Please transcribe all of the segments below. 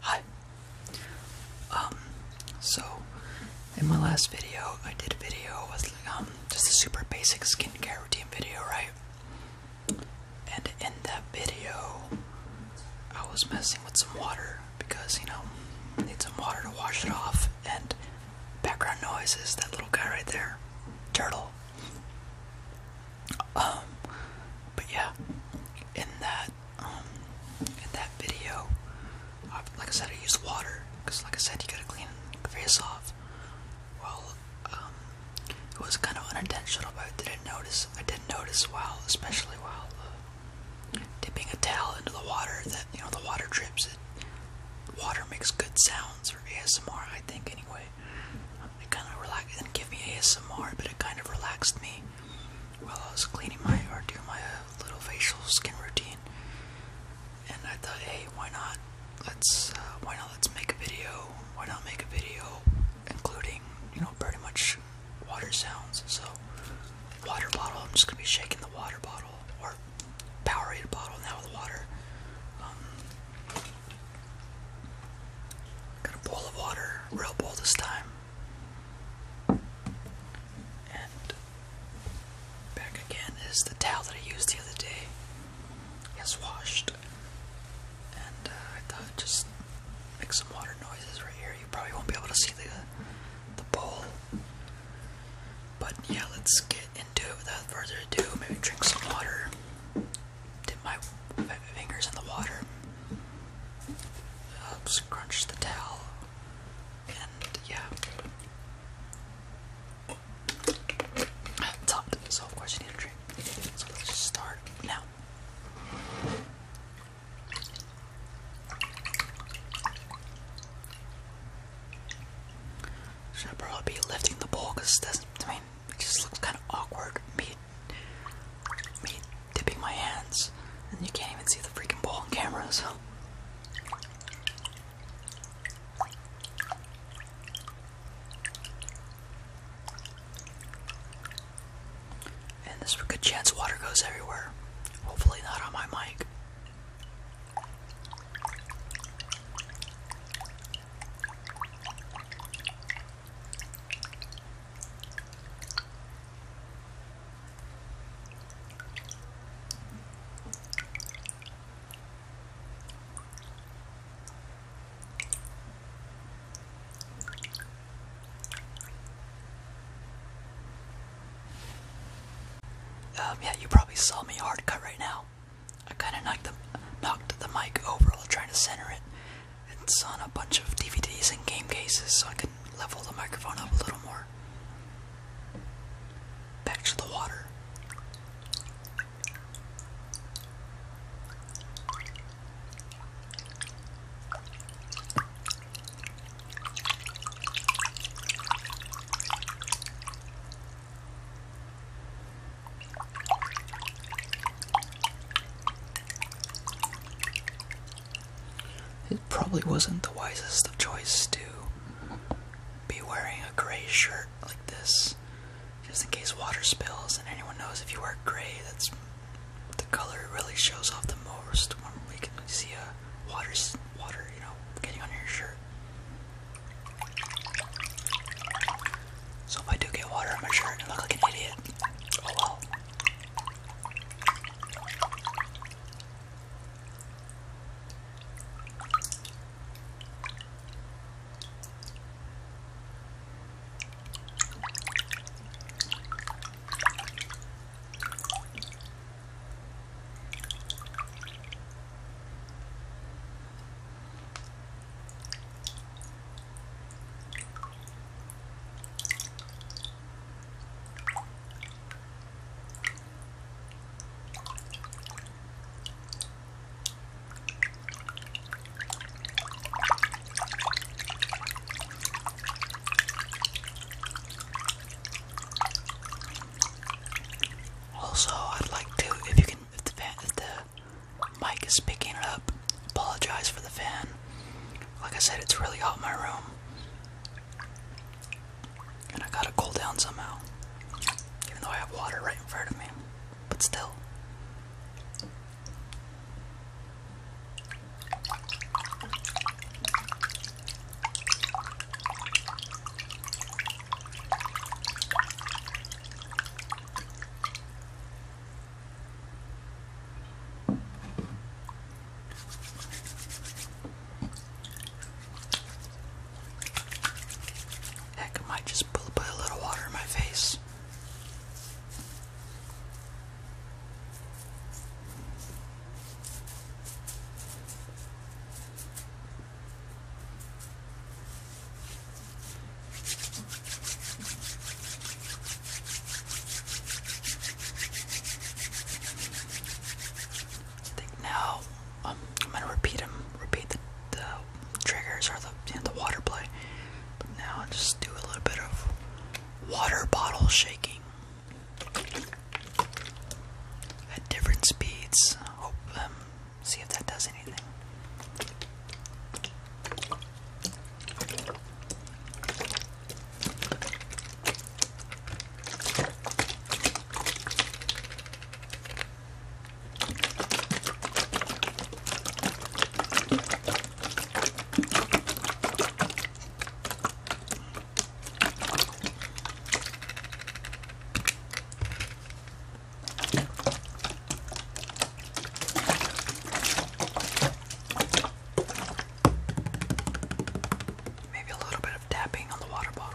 Hi. Um, so in my last video, I did a video with um just a super basic skincare routine video, right? And in that video, I was messing with some water because you know need some water to wash it off. And background noise is that little guy right there, turtle. Um, but yeah, in that um, in that video like I said I used water because like I said you gotta clean your face off well um, it was kind of unintentional but I didn't notice I didn't notice while especially while uh, dipping a towel into the water that you know the water drips it water makes good sounds for ASMR I think anyway it kind of relaxed. It give me ASMR, but it kind of relaxed me while I was cleaning my or doing my uh, little facial skin routine. And I thought, hey, why not? Let's uh, why not? Let's make a video. Why not make a video including you know pretty much water sounds? So water bottle. I'm just gonna be shaking the water bottle or Powerade bottle now with water. Um, got a bowl of water, real bowl this time. And back again is the towel that I used the other day. It's washed. And uh, I thought just make some water noises right here. You probably won't be able to see the the bowl. But yeah, let's get into it without further ado. Maybe drink some water dip my fingers in the water, uh, scrunch the towel, and yeah. It's so of course you need a drink. So let's just start now. Should probably be lifting the bowl because doesn't, mean, it just looks kind of awkward. Me, me dipping my hands, and you can't even see the freaking bowl on cameras. So. And there's a good chance water goes everywhere. Hopefully, not on my mic. Um, yeah, you probably saw me hard cut right now. I kind of knocked the, knocked the mic over while trying to center it, it's on a bunch of DVDs and game cases, so I can level the microphone up a little more. Back to the water. It probably wasn't the wisest of choice to be wearing a gray shirt like this, just in case water spills. And anyone knows if you wear gray, that's the color really shows off the most when we can see a water, water, you know, getting on your shirt. So if I do get water on my shirt and look like an idiot, oh well. Also, I'd like to, if you can, if the, if the Mike is picking it up. Apologize for the fan. Like I said, it's really hot in my room. And I gotta cool down somehow. Even though I have water right in front of me. But still. Heck, I might just put, put a little water in my face now um, I'm gonna repeat them, repeat the, the triggers or the, the water play. now I'll just do a little bit of water bottle shaking at different speeds. Hope um, see if that does anything. Maybe a little bit of tapping on the water bottle.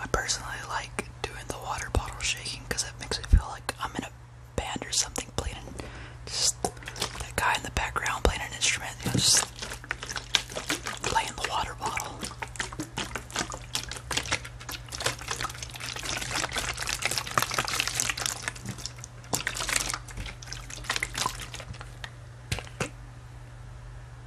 I personally like doing the water bottle shaking because it makes me feel like I'm in a band or something playing just that guy in the background playing an instrument, just playing the water bottle.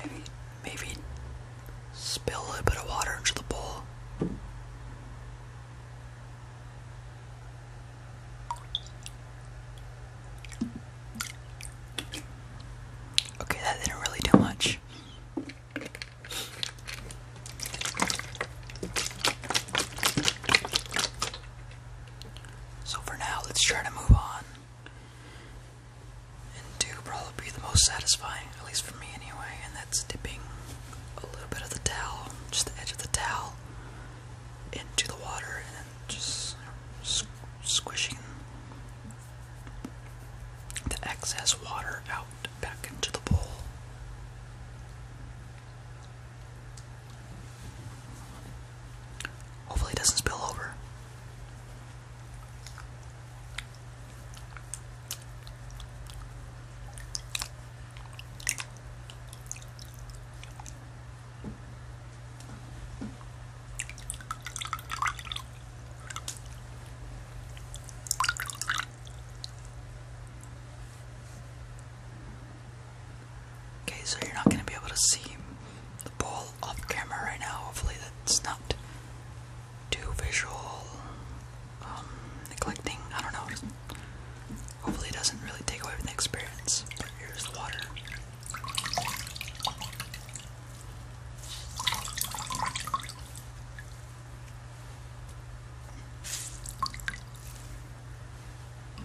Maybe, maybe spill a little bit of water into the bowl. Okay, that didn't really do much. So for now, let's try to move on and do probably be the most satisfying, at least for me anyway, and that's dipping a little bit of the towel, just the edge of the towel, into the water and just squishing the excess water out back into the bowl. Hopefully, it doesn't spill over. Okay, so you're not going to be able to see the ball off camera right now. Hopefully, that's not too visual, um, neglecting. I don't know. Hopefully, it doesn't really take away from the experience. But here's the water.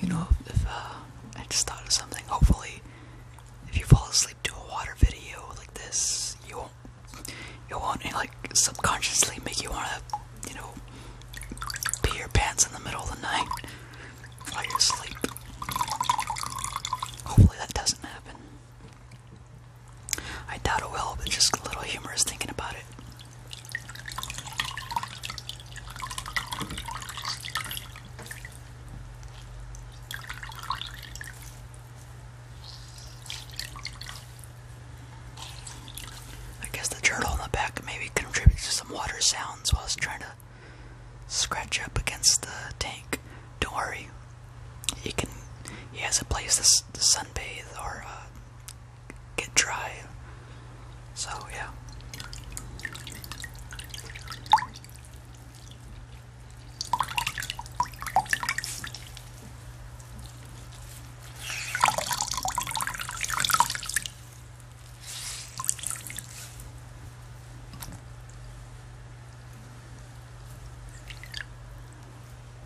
You know, uh, I just thought of something, hopefully, if you fall asleep to a water video like this, you won't, you won't like subconsciously make you want to, you know, pee your pants in the middle of the night while you're asleep. Hopefully that doesn't happen. I doubt it will, but just a little humor is thinking about it. I guess the turtle in the back maybe contributes to some water sounds while it's trying to scratch up against the tank. Don't worry, he can. He has a place sunbathe or uh, get dry. So, yeah.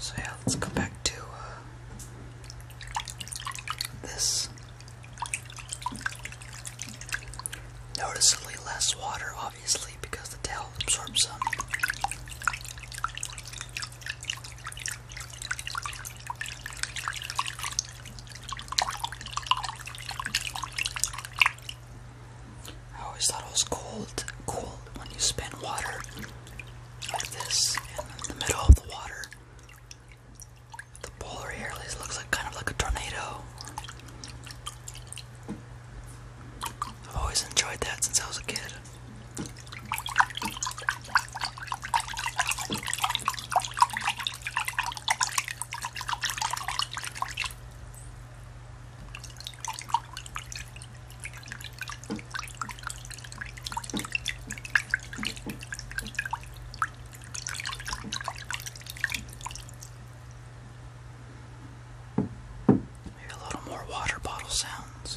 So yeah, let's go back to uh, this. Noticeably less water, obviously, because the tail absorbs some. I always thought it was cold, cold when you spin water like this, in the middle of the water, the polar air looks like kind of like a tornado. I've always enjoyed that since I was a kid. Maybe a little more water bottle sounds.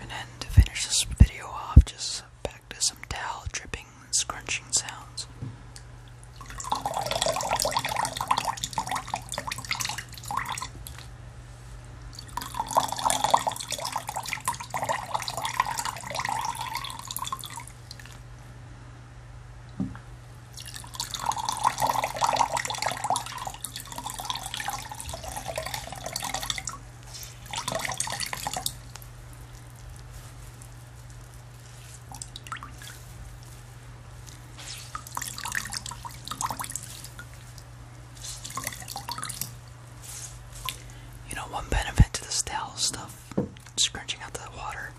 And then to finish this video off, just back to some towel dripping and scrunching sounds. You know, one benefit to this towel stuff, scrunching out the water,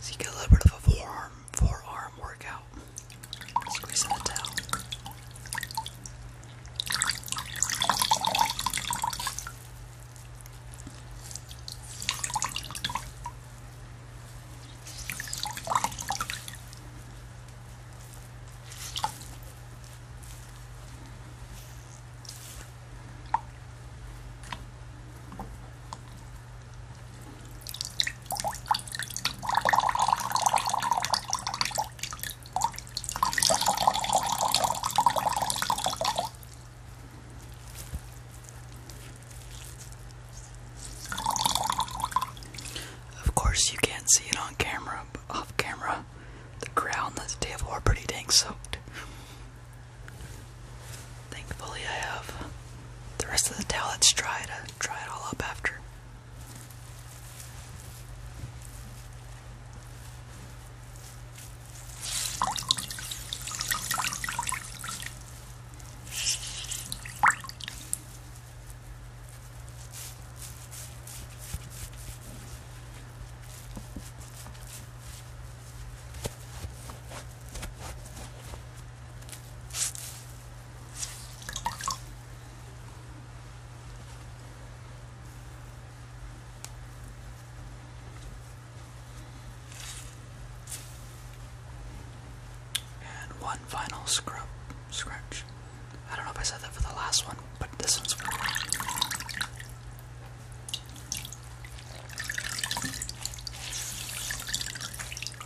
is you get a little bit of a forearm forearm workout. Squeezing the towel. Of course, you can't see it on camera, off camera, the ground and the table are pretty dang soaked. Thankfully, I have the rest of the towel that's dried. I dry it all up after. And one final scrub scratch. I don't know if I said that for the last one, but this one's for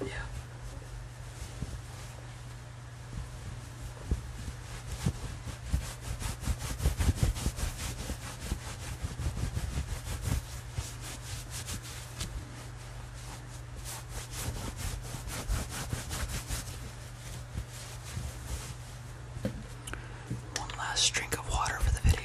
Yeah. One last drink of water for the video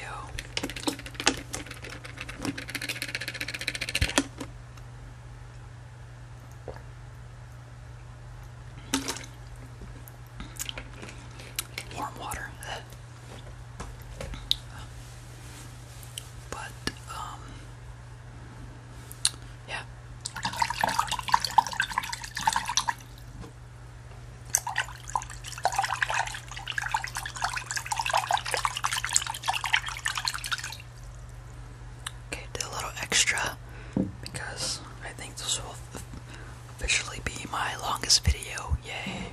warm water. But, um, yeah. Okay, did a little extra because I think this will officially be my longest video. Yay!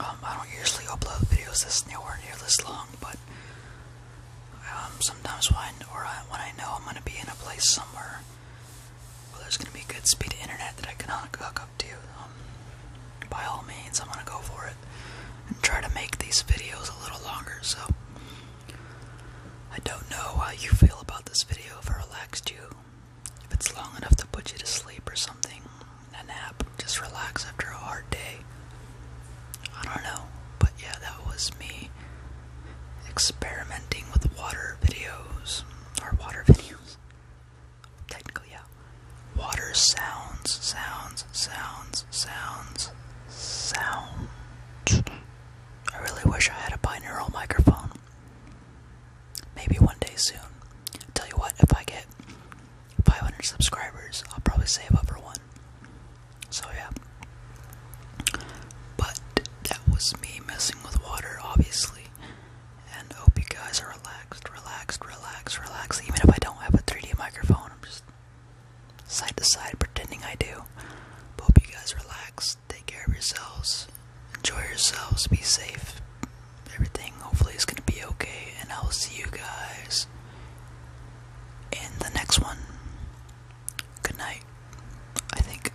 Um, I don't usually upload videos this nowhere near this long, but um, sometimes when or when I know I'm gonna be in a place somewhere well, there's gonna be good speed internet that I can hook up to. Um, by all means, I'm gonna go for it and try to make these videos a little longer. So I don't know how you feel about this video. If it relaxed you, if it's long enough to put you to sleep or something, a nap, just relax after a hard day. I don't know, but yeah, that was me experimenting with water videos. Or water videos. Technically, yeah. Water sounds, sounds, sounds, sounds, sounds. I really wish I had a binaural microphone. Maybe one day soon. Tell you what, if I get 500 subscribers, I'll probably save up for one. So, yeah. But that was me messing with water, obviously. And hope you guys are relaxed, relaxed, relaxed, relaxed. Even if I don't have a 3D microphone, I'm just side to side pretending I do. hope you guys relax. Take care of yourselves. Enjoy yourselves. Be safe. Everything hopefully is going to be okay. And I will see you guys in the next one. Good night. I think.